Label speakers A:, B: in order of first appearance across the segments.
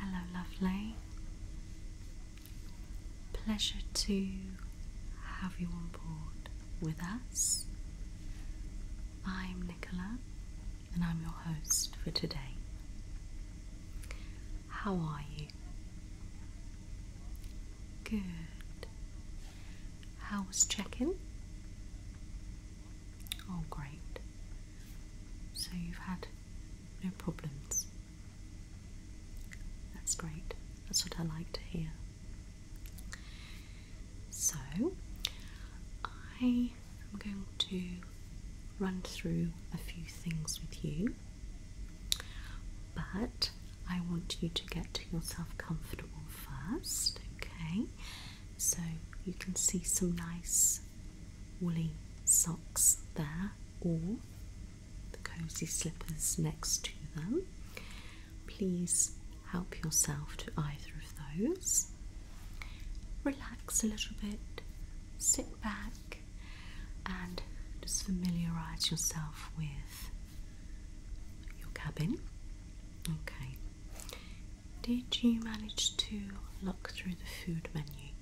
A: Hello, lovely. Pleasure to have you on board with us. I'm Nicola, and I'm your host for today. How are you? Good. How was check in? Oh, great. So you've had no problems. That's great. That's what I like to hear. So, I I'm going to run through a few things with you, but I want you to get yourself comfortable first, okay? So you can see some nice woolly socks there, or the cozy slippers next to them. Please help yourself to either of those. Relax a little bit, sit back, and just familiarize yourself with your cabin. Okay, did you manage to look through the food menu?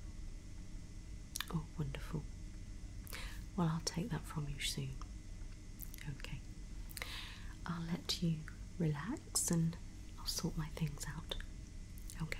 A: Oh, wonderful. Well, I'll take that from you soon. Okay, I'll let you relax and I'll sort my things out. Okay.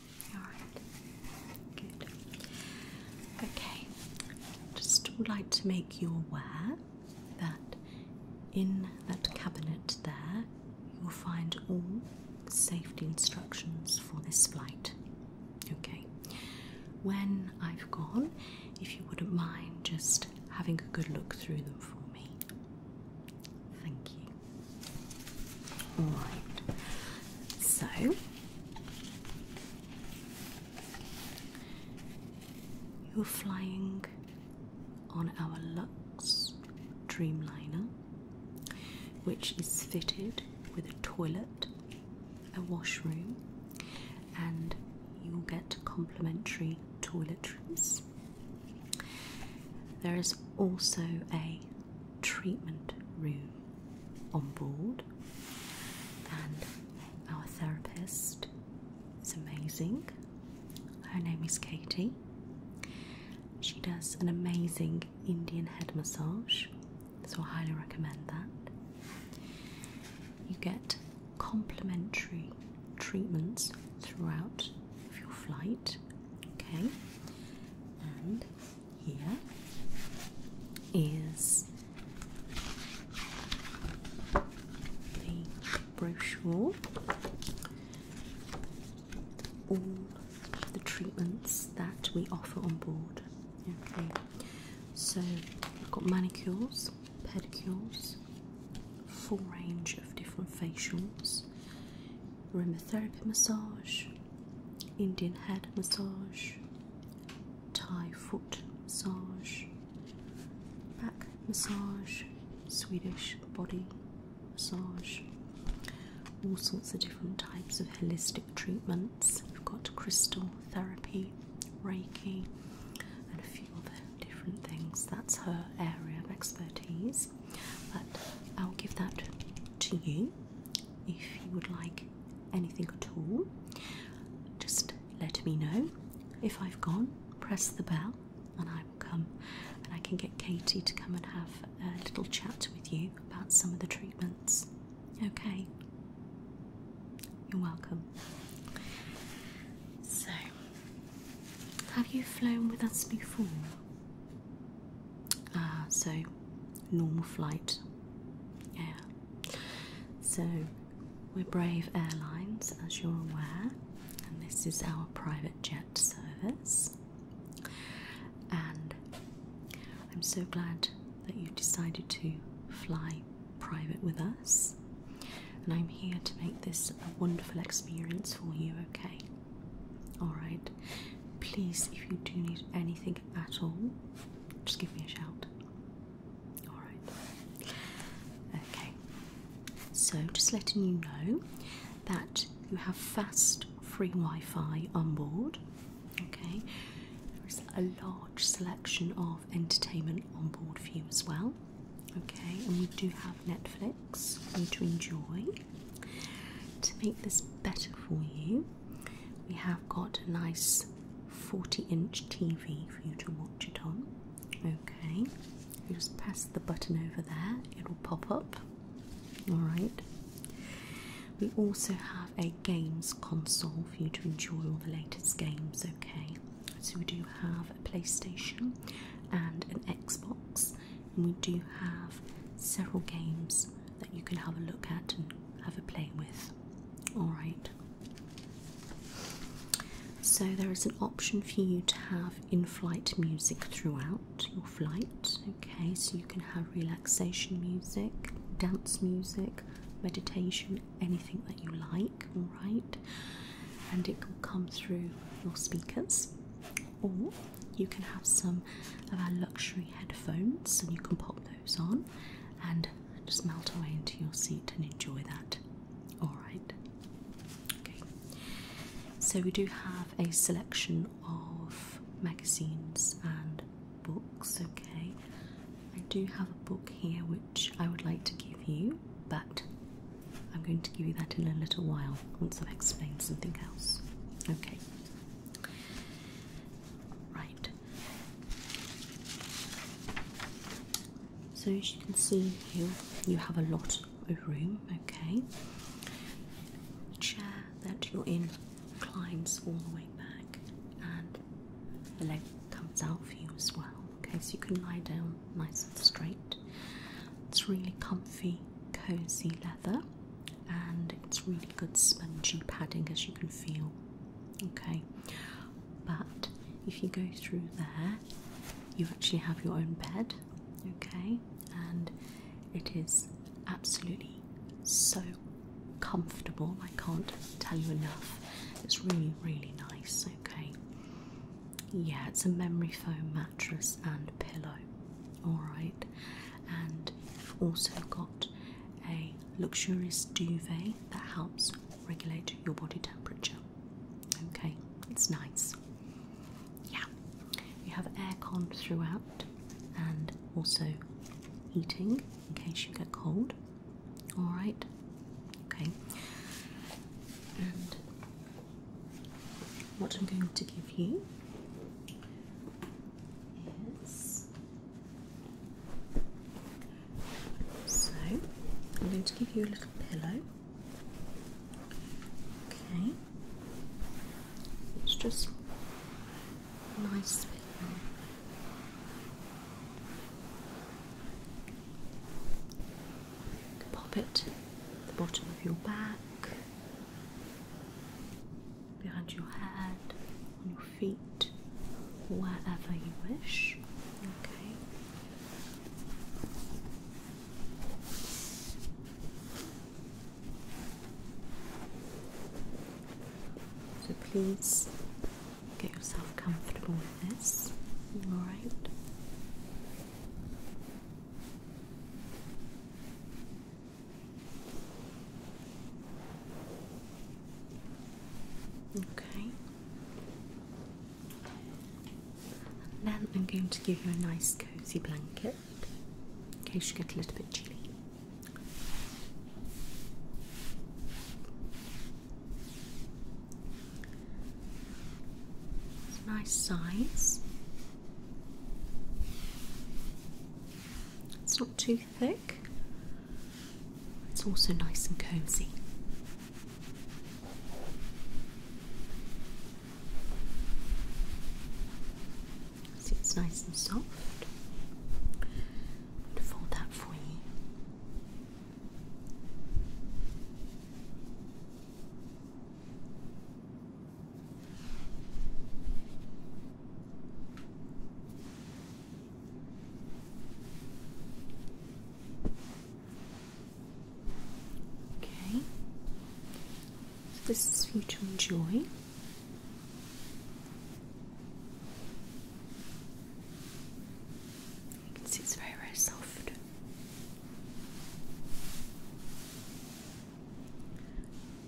A: Alright, good. Okay, just would like to make you aware that in that cabinet there you'll find all safety instructions for this flight. Okay, when I've gone, if you wouldn't mind just having a good look through them for me. Thank you. Alright, so you're flying on our Lux Dreamliner, which is fitted with a toilet, a washroom, and you'll get complimentary toiletries. There is also a treatment room on board, and our therapist is amazing. Her name is Katie. She does an amazing Indian head massage, so I highly recommend that. You get complimentary treatments throughout your flight, okay? And here is the brochure all the treatments that we offer on board okay so i've got manicures pedicures full range of different facials aromatherapy massage Indian head massage, Thai foot massage, back massage, Swedish body massage, all sorts of different types of holistic treatments. We've got crystal therapy, Reiki, and a few other different things. That's her area of expertise, but I'll give that to you if you would like anything at all, just let me know. If I've gone, press the bell and I will come and I can get Katie to come and have a little chat with you about some of the treatments. Okay, you're welcome. So, have you flown with us before? Ah, so normal flight. Yeah. So we're Brave Airlines, as you're aware, and this is our private jet service. And I'm so glad that you have decided to fly private with us. And I'm here to make this a wonderful experience for you, okay? Alright. Please, if you do need anything at all, just give me a shout. Alright. Okay. So, just letting you know that you have fast free Wi Fi on board. Okay. There's a large selection of entertainment on board for you as well. Okay, and we do have Netflix for you to enjoy. To make this better for you, we have got a nice 40 inch TV for you to watch it on. Okay, just press the button over there, it'll pop up. Alright, we also have a games console for you to enjoy all the latest games. Okay, so we do have a PlayStation and an Xbox, and we do have several games that you can have a look at and have a play with. All right. So there is an option for you to have in-flight music throughout your flight. Okay, so you can have relaxation music, dance music, meditation, anything that you like. All right, and it can come through your speakers, or you can have some of our luxury headphones, and you can pop those on and just melt away into your seat and enjoy that. Alright. Okay. So we do have a selection of magazines and books, okay. I do have a book here which I would like to give you, but I'm going to give you that in a little while once I've explained something else. Okay. Right, so as you can see here, you have a lot of room, okay? The chair that you're in climbs all the way back and the leg comes out for you as well, okay? So you can lie down nice and straight. It's really comfy, cozy leather and it's really good spongy padding as you can feel Okay, but if you go through there, you actually have your own bed, okay, and it is absolutely so comfortable. I can't tell you enough. It's really, really nice, okay. Yeah, it's a memory foam mattress and pillow, all right, and you've also got a luxurious duvet that helps regulate your body temperature. Okay, it's nice. Yeah, you have aircon throughout and also heating in case you get cold. Alright, okay. And what I'm going to give you is so I'm going to give you a little pillow. Okay. It's just a nice pillow. Pop it at the bottom of your back, behind your head, feet whatever you wish. Okay. So please get yourself comfortable with this. All right. Okay. And then I'm going to give you a nice cozy blanket in case you get a little bit chilly. nice size. It's not too thick. It's also nice and cozy. See, it's nice and soft. And fold that for you. Okay, so this is for you to enjoy. You can see it's very, very soft.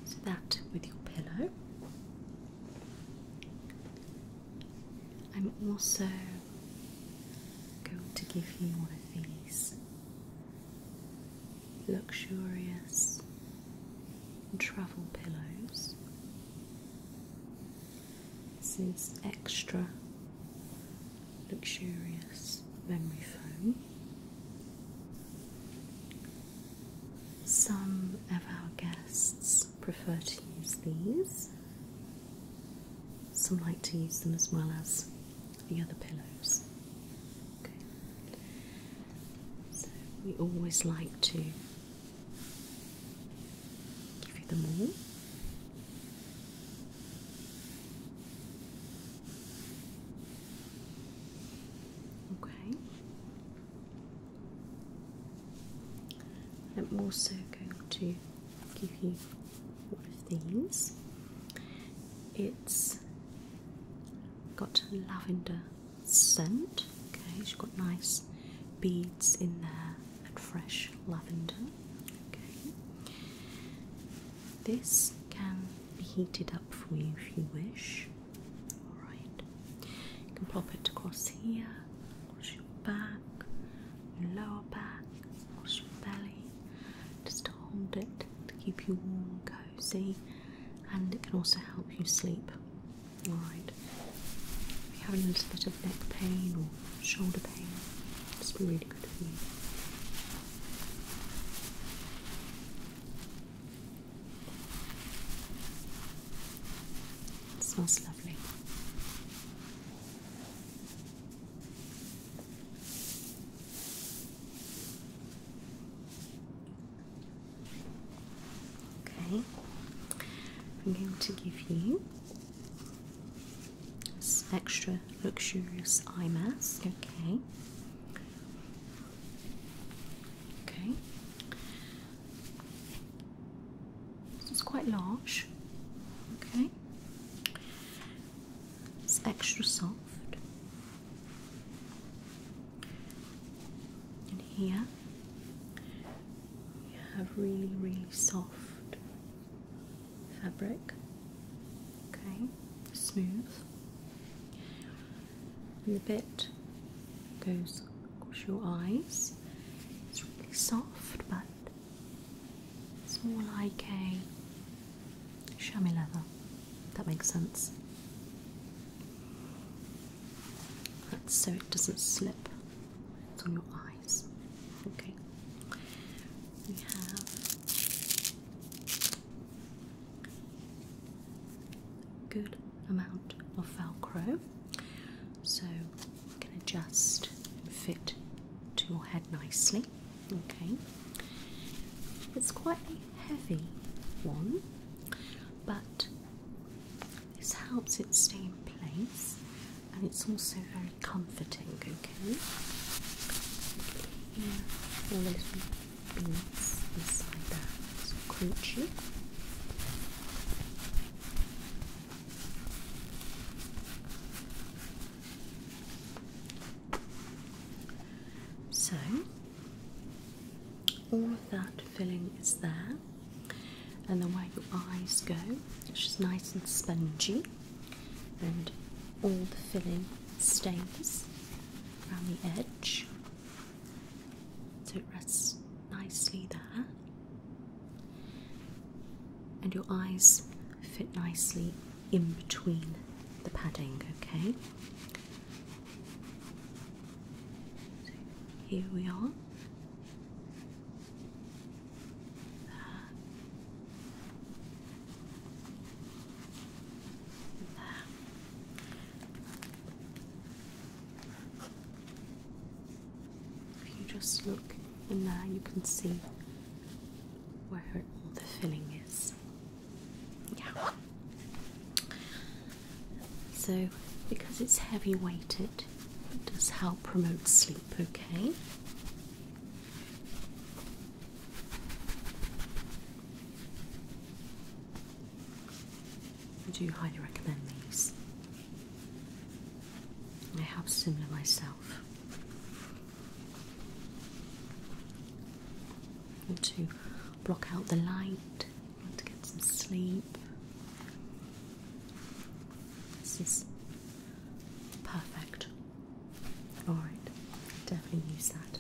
A: So that with your pillow. I'm also going to give you one of these luxurious travel pillows. This is extra luxurious memory foam. Some of our guests prefer to use these. Some like to use them as well as the other pillows. So we always like to give you them all. Okay. I'm also going to give you one of these. It's got lavender scent. Okay, she's got nice beads in there and fresh lavender. Okay. This can be heated up for you if you wish. Alright. You can pop it across here wash your back, your lower back, wash your belly, just to hold it to keep you warm and cozy, and it can also help you sleep. Alright, if you're having a little bit of neck pain or shoulder pain, this be really good for you. It smells Okay, I'm going to give you this extra luxurious eye mask. Okay. Okay it's quite large. Okay. It's extra soft. And here you have really, really soft fabric. Okay, smooth. And the bit goes across your eyes. It's really soft, but it's more like a chamois leather. That makes sense. so it doesn't slip. It's on your eyes. Okay. We have good amount of Velcro. So can adjust and fit to your head nicely. Okay, it's quite a heavy one, but this helps it stay in place and it's also very comforting. Okay, yeah, all those beads inside there, so so, all of that filling is there, and the way your eyes go, it's just nice and spongy, and all the filling stays around the edge so it rests nicely there. And your eyes fit nicely in between the padding, okay? here we are. If you just look in there, you can see where all the filling is. Yeah. So, because it's heavy weighted, it does help promote sleep, okay? I do highly recommend these. I have similar myself. want to block out the light, want to get some sleep. This is perfect. Alright, definitely use that.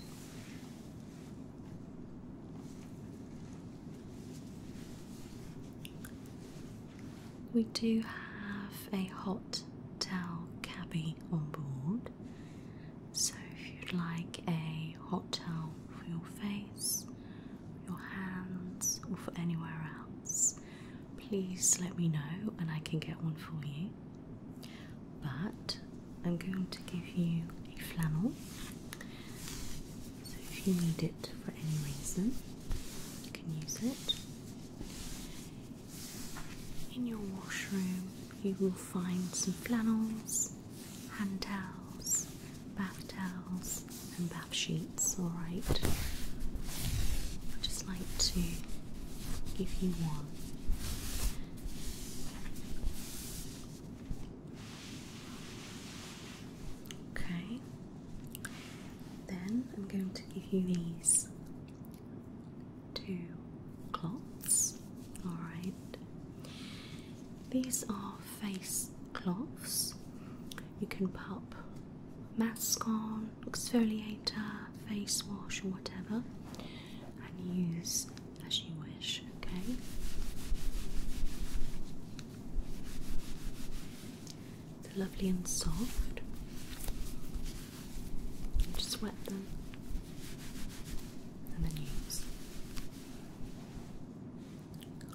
A: We do have a hot towel cabby on board, so if you'd like a hot towel for your face, your hands, or for anywhere else, please let me know and I can get one for you. But I'm going to give you a flannel, so if you need it for any reason, in your washroom, you will find some flannels, hand towels, bath towels, and bath sheets. Alright, i just like to give you want. Okay, then I'm going to give you these two cloths. Alright. These are face cloths. You can pop mask on, exfoliator, face wash, or whatever, and use as you wish, okay? They're lovely and soft. just wet them and then use.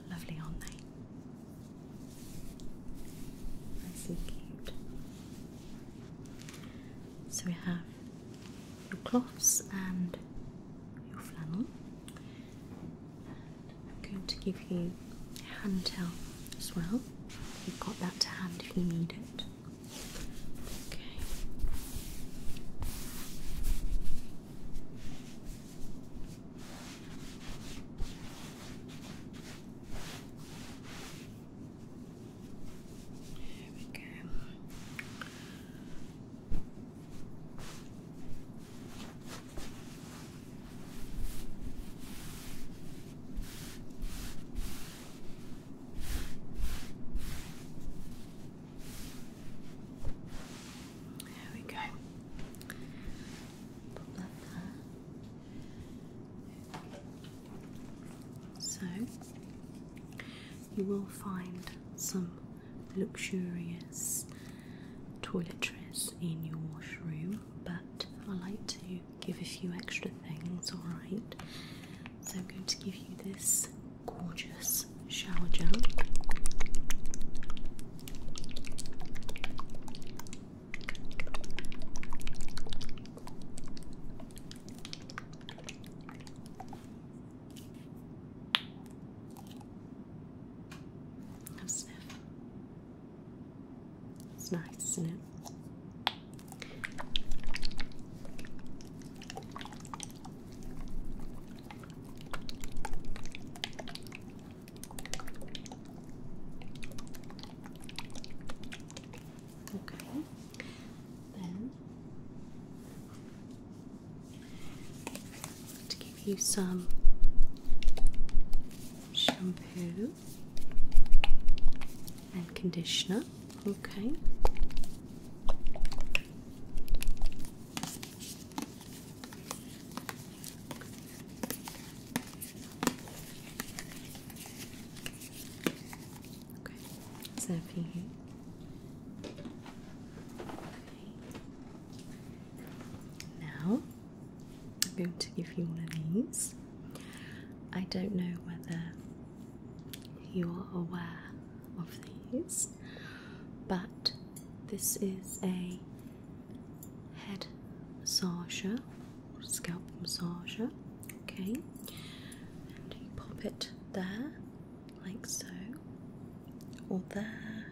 A: Lovely, aren't they? Nice So we have your cloths and your flannel. I'm going to give you a hand towel as well. You've got that to hand if you need it. Okay. There we go. There we go. So you will find some luxurious toiletries in your washroom but I like to give a few extra things, alright? So I'm going to give you this gorgeous shower gel. It's nice, isn't it? Okay, then to give you some shampoo and conditioner. Okay. Okay, it's there for Okay. Now I'm going to give you one of these. I don't know whether you're aware of these, but this is a head massage, scalp massage. Okay, and you pop it there, like so, or there,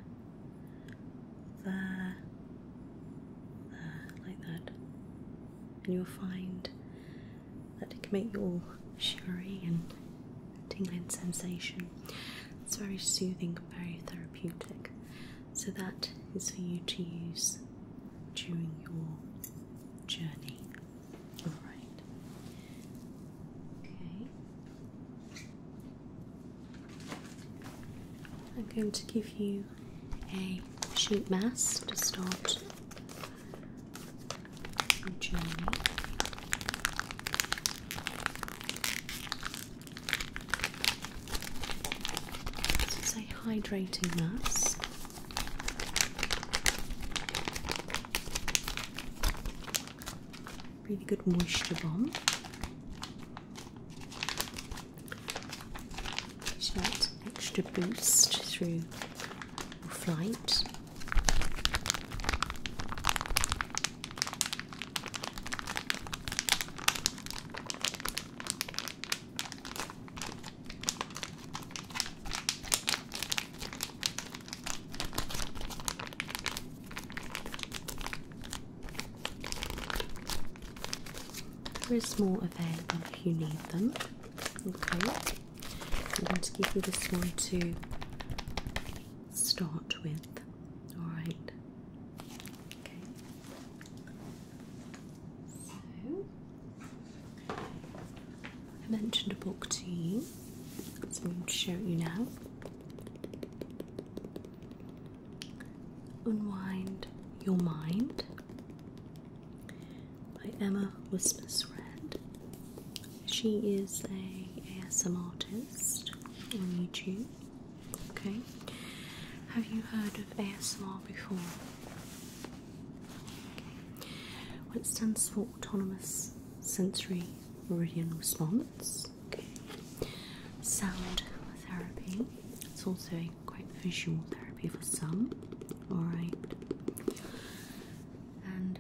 A: there, uh, like that. And you'll find that it can make you all shivery and tingling sensation. It's very soothing, very therapeutic. So that is for you to use during your journey. Alright. Okay. I'm going to give you a sheet mask to start the journey. This hydrating mask. Really good moisture bomb. Get that extra boost through flight. There is more available if you need them. Okay, I'm going to give you this one to start with. All right. Okay. So I mentioned a book to you, so I'm going to show it you now. Unwind Your Mind by Emma Wismersred. She is a ASMR artist on YouTube. Okay. Have you heard of ASMR before? Okay. Well, stands for Autonomous Sensory Meridian Response. Okay. Sound therapy. It's also a quite visual therapy for some. Alright. And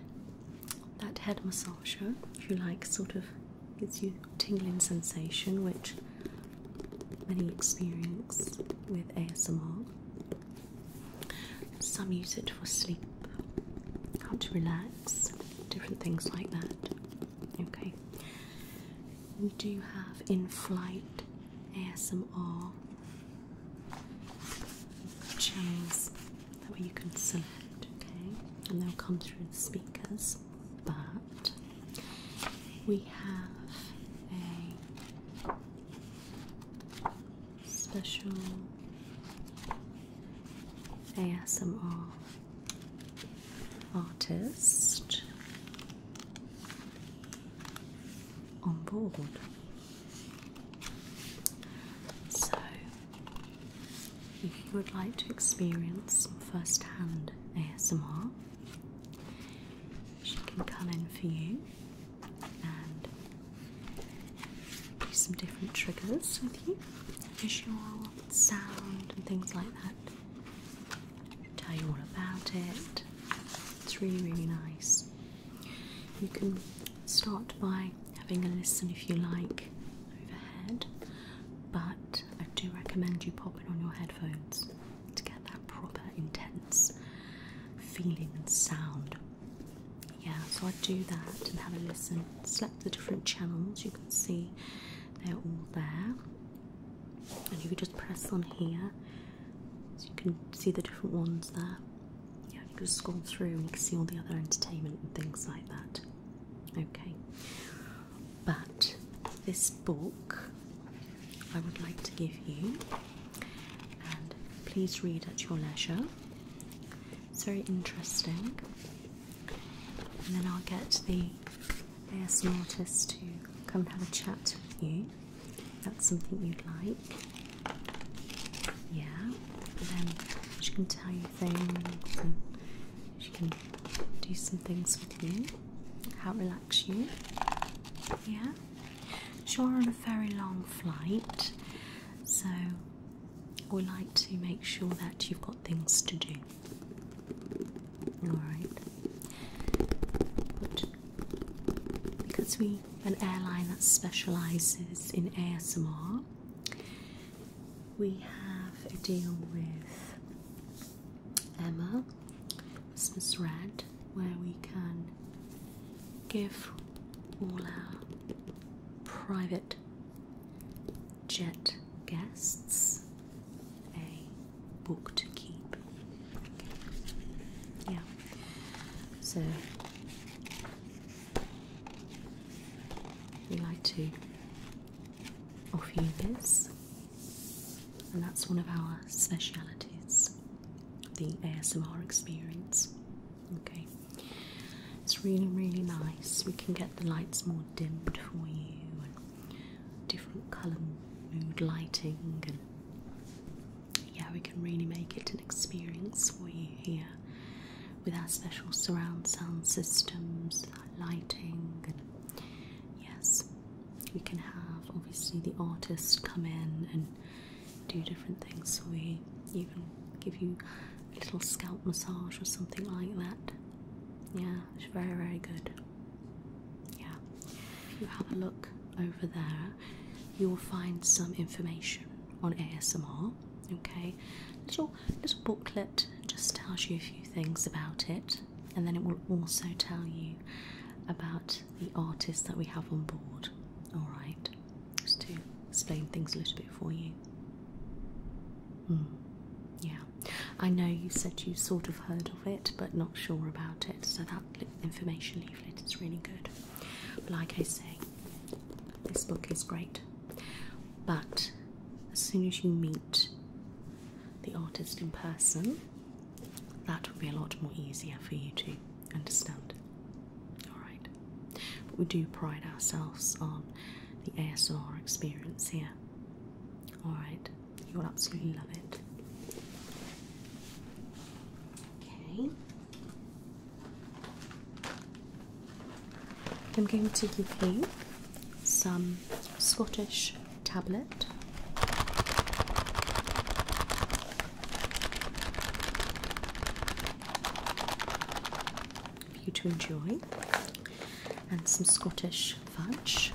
A: that head massage, if you like, sort of gives you tingling sensation, which many experience with ASMR. Some use it for sleep, how to relax, different things like that. Okay we do have in flight ASMR channels that you can select, okay, and they'll come through the speakers. But we have a special ASMR artist on board. So, if you would like to experience some first hand ASMR, she can come in for you and do some different triggers with you, visual, sound, and things like that tell you all about it. It's really, really nice. You can start by having a listen if you like overhead, but I do recommend you pop popping on your headphones to get that proper intense feeling and sound. Yeah, so I do that and have a listen. Select the different channels, you can see they're all there, and you just press on here so you can see the different ones there. Yeah, you can scroll through and you can see all the other entertainment and things like that. Okay. But this book I would like to give you, and please read at your leisure. It's very interesting. And then I'll get the they ASM artist to come and have a chat with you. That's something you'd like. Yeah. then she can tell you things and she can do some things with you. How relax you. Yeah. You're on a very long flight, so we like to make sure that you've got things to do. Alright because we an airline that specializes in ASMR. We have a deal with Emma Miss Red where we can give all our private jet guests a book to keep. Yeah. So we like to offer you this, and that's one of our specialities the ASMR experience. Okay, it's really, really nice. We can get the lights more dimmed for you different colour mood lighting and yeah we can really make it an experience for you here with our special surround sound systems lighting and yes we can have obviously the artist come in and do different things So we even give you a little scalp massage or something like that yeah it's very very good yeah. If you have a look over there, you'll find some information on ASMR. Okay. Little little booklet just tells you a few things about it, and then it will also tell you about the artists that we have on board. All right. Just to explain things a little bit for you. Hmm. Yeah, I know you said you sort of heard of it, but not sure about it. So that information leaflet. It's really good. But like I say, this book is great. But as soon as you meet the artist in person, that will be a lot more easier for you to understand. Alright. we do pride ourselves on the ASR experience here. Alright. You'll absolutely love it. Okay. I'm going to give you some Scottish tablet. For you to enjoy, and some Scottish fudge.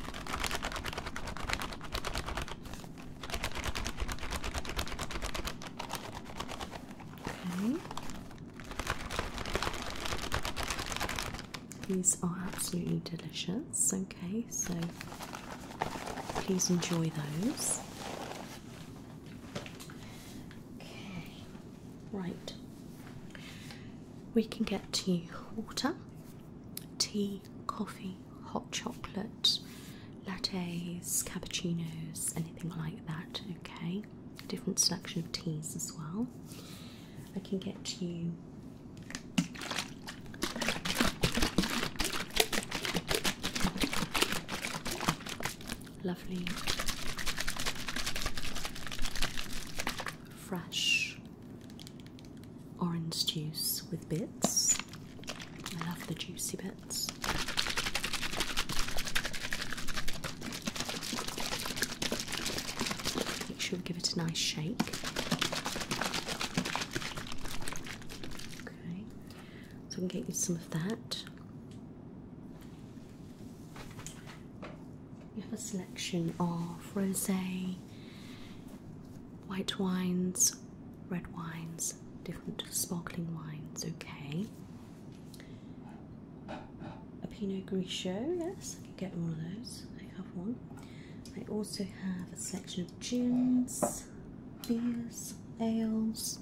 A: These are absolutely delicious. Okay, so please enjoy those. Okay, right. We can get to water, tea, coffee, hot chocolate, lattes, cappuccinos, anything like that. Okay, different selection of teas as well. I can get you. Lovely, fresh orange juice with bits. I love the juicy bits. Make sure we give it a nice shake. Okay, so I can get you some of that. You have a selection of rosé, white wines, red wines, different sparkling wines, okay. A Pinot Grigio, yes, I can get one of those. I have one. I also have a section of gins, beers, ales,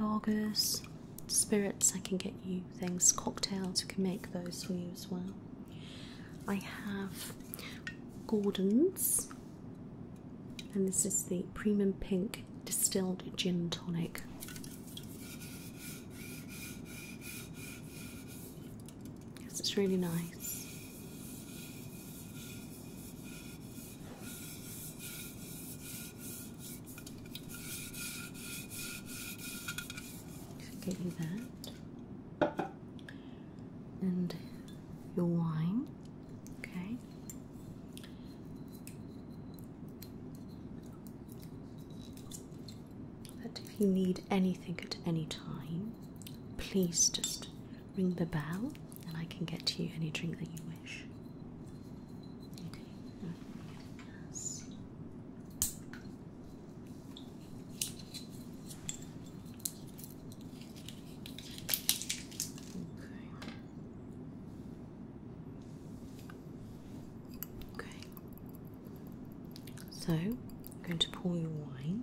A: lagers, spirits. I can get you things, cocktails, I can make those for you as well. I have Gordon's and this is the Premium Pink Distilled Gin Tonic. it's really nice. Get you that and your wine. Okay. But if you need anything at any time, please just ring the bell and I can get you any drink that you wish. Okay. So, I'm going to pour your wine.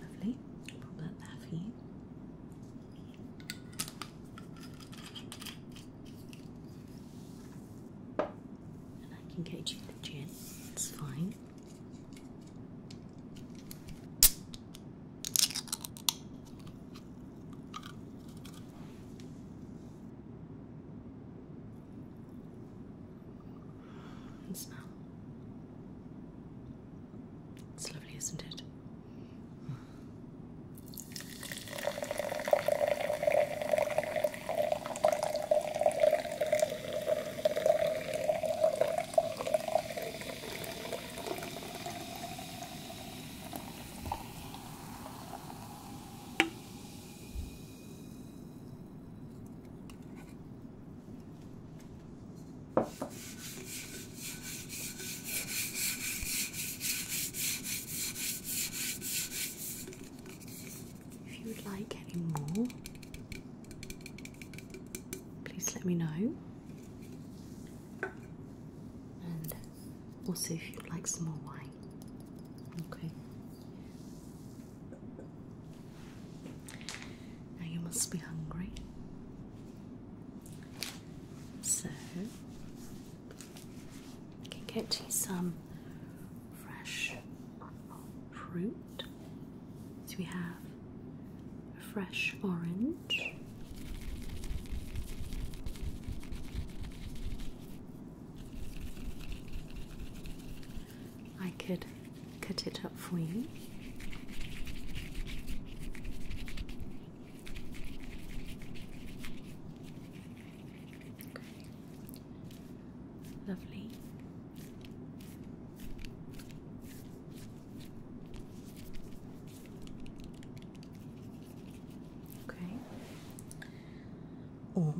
A: Lovely. Put that there for you. And I can get you the gin, it's fine and smell. It's lovely, isn't it? If you would like any more, please let me know. And also, if you'd like some more wine, okay. Now you must be hungry. So, I can get you some fresh fruit. So, we have a fresh orange. I could cut it up for you. Lovely. Okay or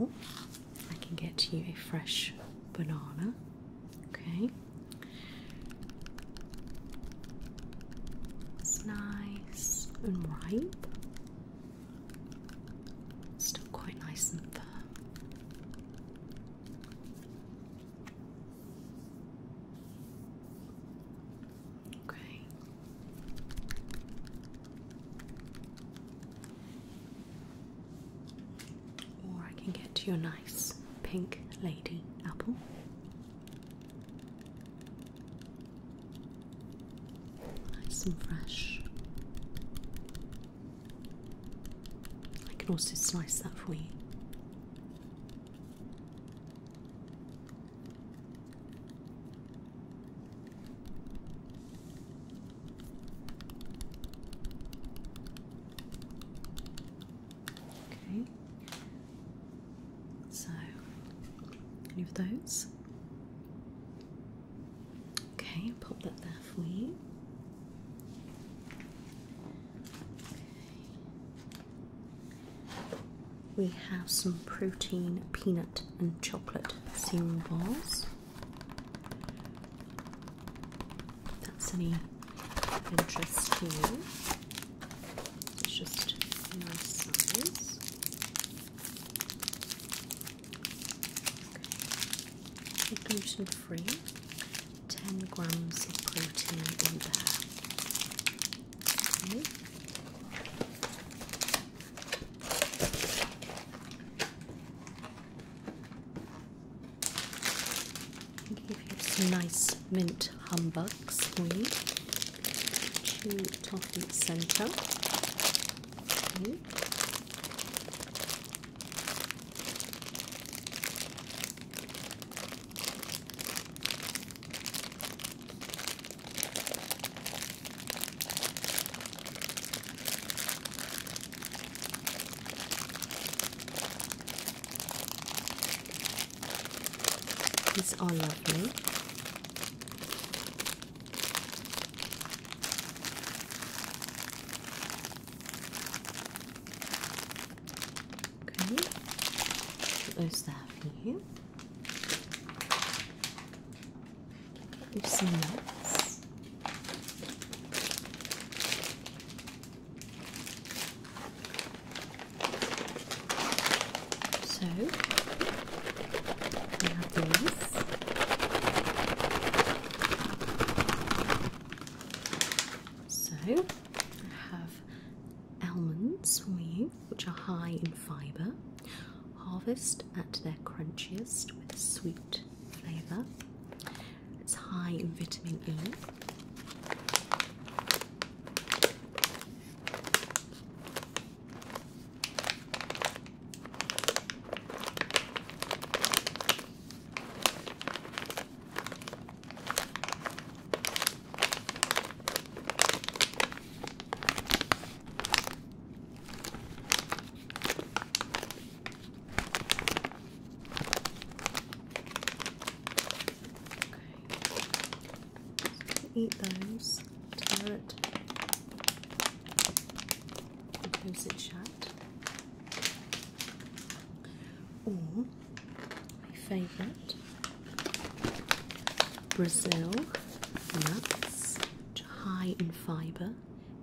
A: I can get you a fresh banana. Okay, it's nice and ripe, still quite nice and firm. Okay. Or I can get you a nice pink lady apple. Nice and fresh. I can also slice that for you. Okay. So, any of those? Okay, pop that there for you. We have some protein, peanut, and chocolate cereal bars that's any interest to you. It's just nice size. Okay. Gluten free, 10 grams of protein in there some nice mint humbugs squeeze. Chew toffee center. It's all lovely. Okay, close that for you. You've seen this. So we have these. So I have almonds which are high in fibre. Harvest at their crunchiest with sweet flavour. It's high in vitamin E. Eat those. Tear it. And close it shut. Or my favourite Brazil nuts, which high in fibre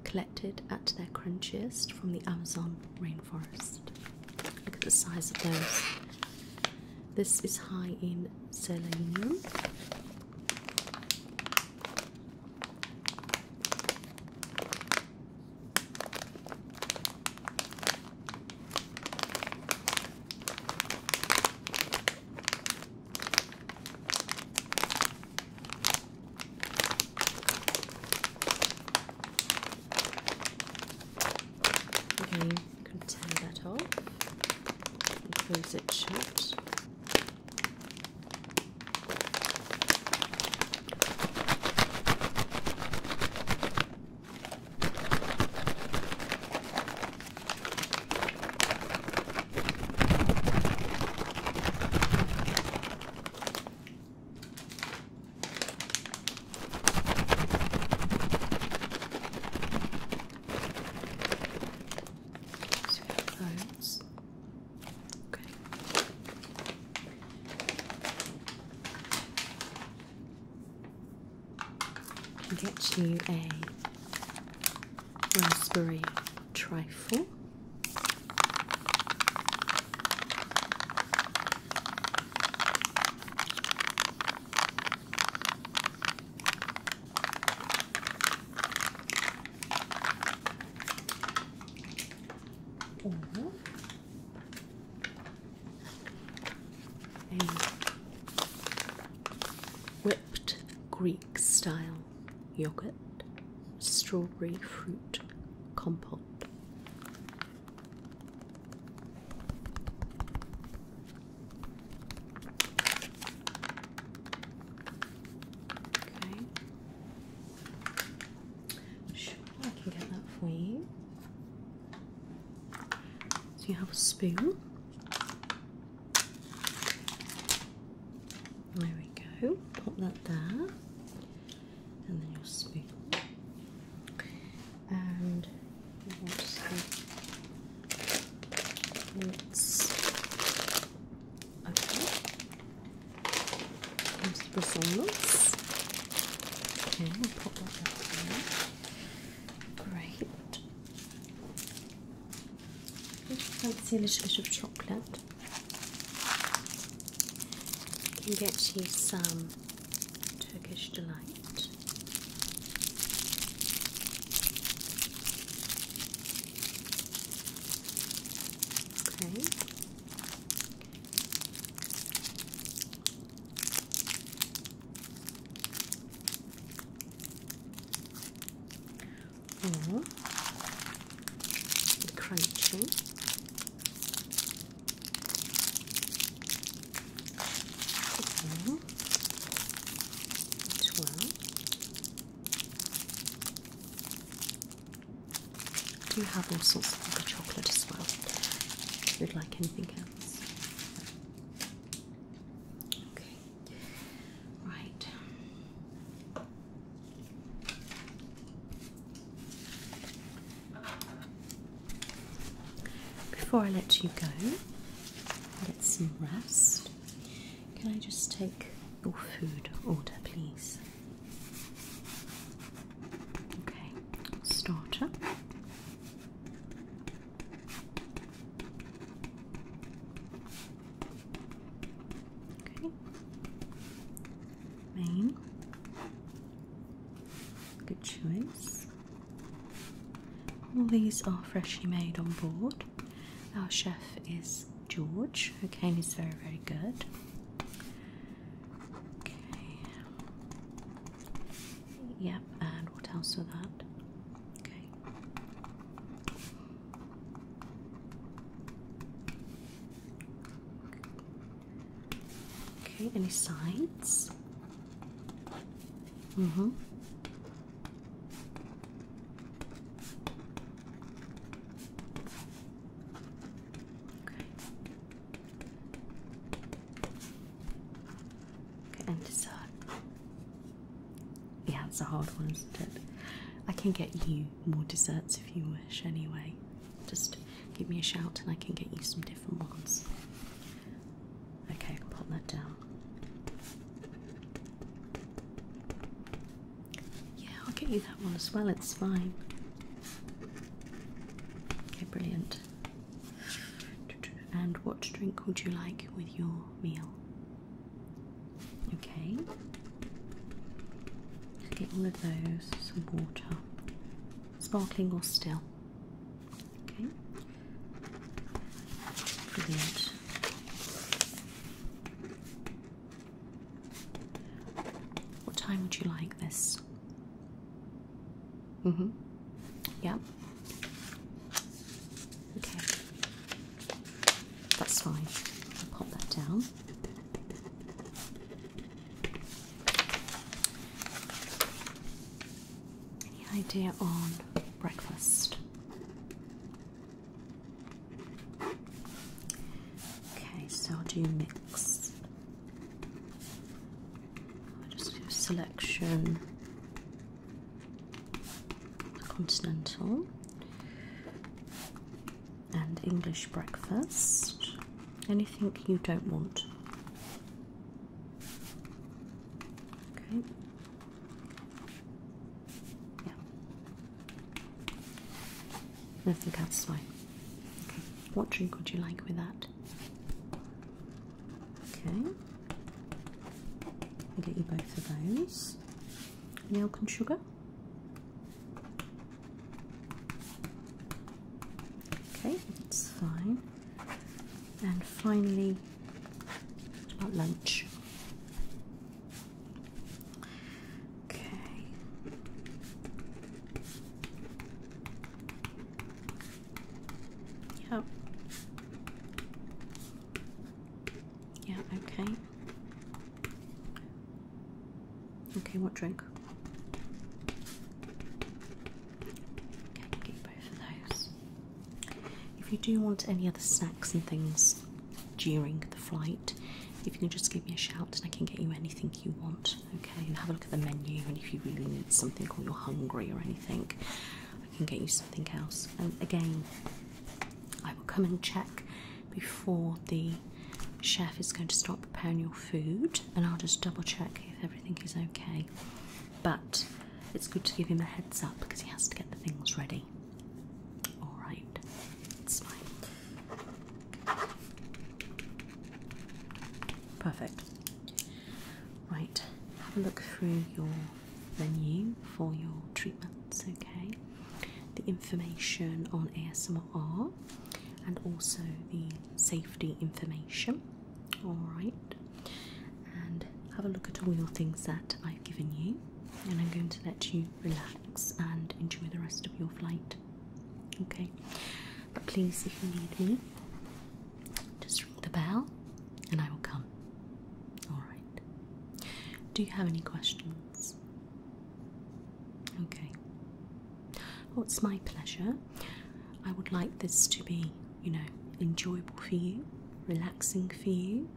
A: collected at their crunchiest from the Amazon rainforest. Look at the size of those. This is high in selenium. Okay, you can tear that off and close it shut. So those. Okay. I can get you a raspberry trifle. Or whipped Greek style yogurt, strawberry fruit compote. Okay. Sure, I can get that wing. you. you have a spoon. There we go. Pop that there and then your spoon. And let's okay. Here's the Okay, we'll pop that back in. Great. I see a little bit of chocolate can get you some Turkish delight. Okay. Or crunchy Okay. Twelve. do have all sorts of other chocolate as well. If you'd like anything else. Okay. Right. Before I let you go, get some rest. Can I just take your food order, please? Okay, starter. Okay, Maine. Good choice. All these are freshly made on board. Our chef is George, Okay, he's very, very good. Okay. Yep, and what else with that? Okay. Okay, any signs? Mm hmm. Okay. Okay, and this side. Yeah, it's a hard one, isn't it? I can get you more desserts if you wish, anyway. Just give me a shout and I can get you some different ones. Okay, I put that down. Yeah, I'll get you that one as well, it's fine. Okay, brilliant. And what drink would you like with your meal? Okay. get all of those, some water sparkling or still. Okay, brilliant. What time would you like this? Mm hmm. Yeah. Okay. That's fine. pop that down. Any idea on breakfast? Okay, so I'll do mix. I'll just do selection continental and English breakfast. Anything you don't want. Okay. Yeah. Nothing else fine. Okay. What drink would you like with that? Okay. I'll get you both of those. milk and sugar? Okay, that's fine. And finally, about lunch? Okay. Yep. Yeah, okay. Okay, what drink? Okay, get both of those. If you do want any other snacks and things during the flight, if you can just give me a shout and I can get you anything you want, okay? And have a look at the menu and if you really need something or you're hungry or anything, I can get you something else. And um, again, I will come and check before the chef is going to stop preparing your food, and I'll just double check if everything is okay. But it's good to give him a heads up because he has to get the things ready. Alright, it's fine. Perfect. Right, have a look through your menu for your treatments, okay? The information on ASMR and also the safety information. Alright, and have a look at all your things that I've given you, and I'm going to let you relax and enjoy the rest of your flight. Okay, but please, if you need me, just ring the bell and I will come. Alright, do you have any questions? Okay, Oh, it's my pleasure. I would like this to be, you know, enjoyable for you, relaxing for you.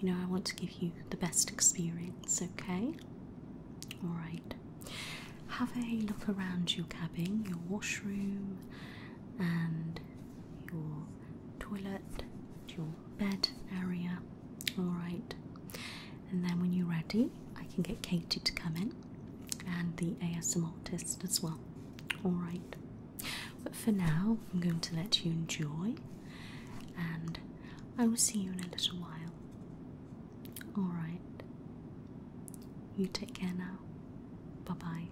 A: You know, I want to give you the best experience, okay? Alright. Have a look around your cabin, your washroom, and your toilet, your bed area. Alright and then when you're ready, I can get Katie to come in and the ASM test as well. Alright, but for now, I'm going to let you enjoy, and I will see you in a little while. Alright, you take care now. Bye bye.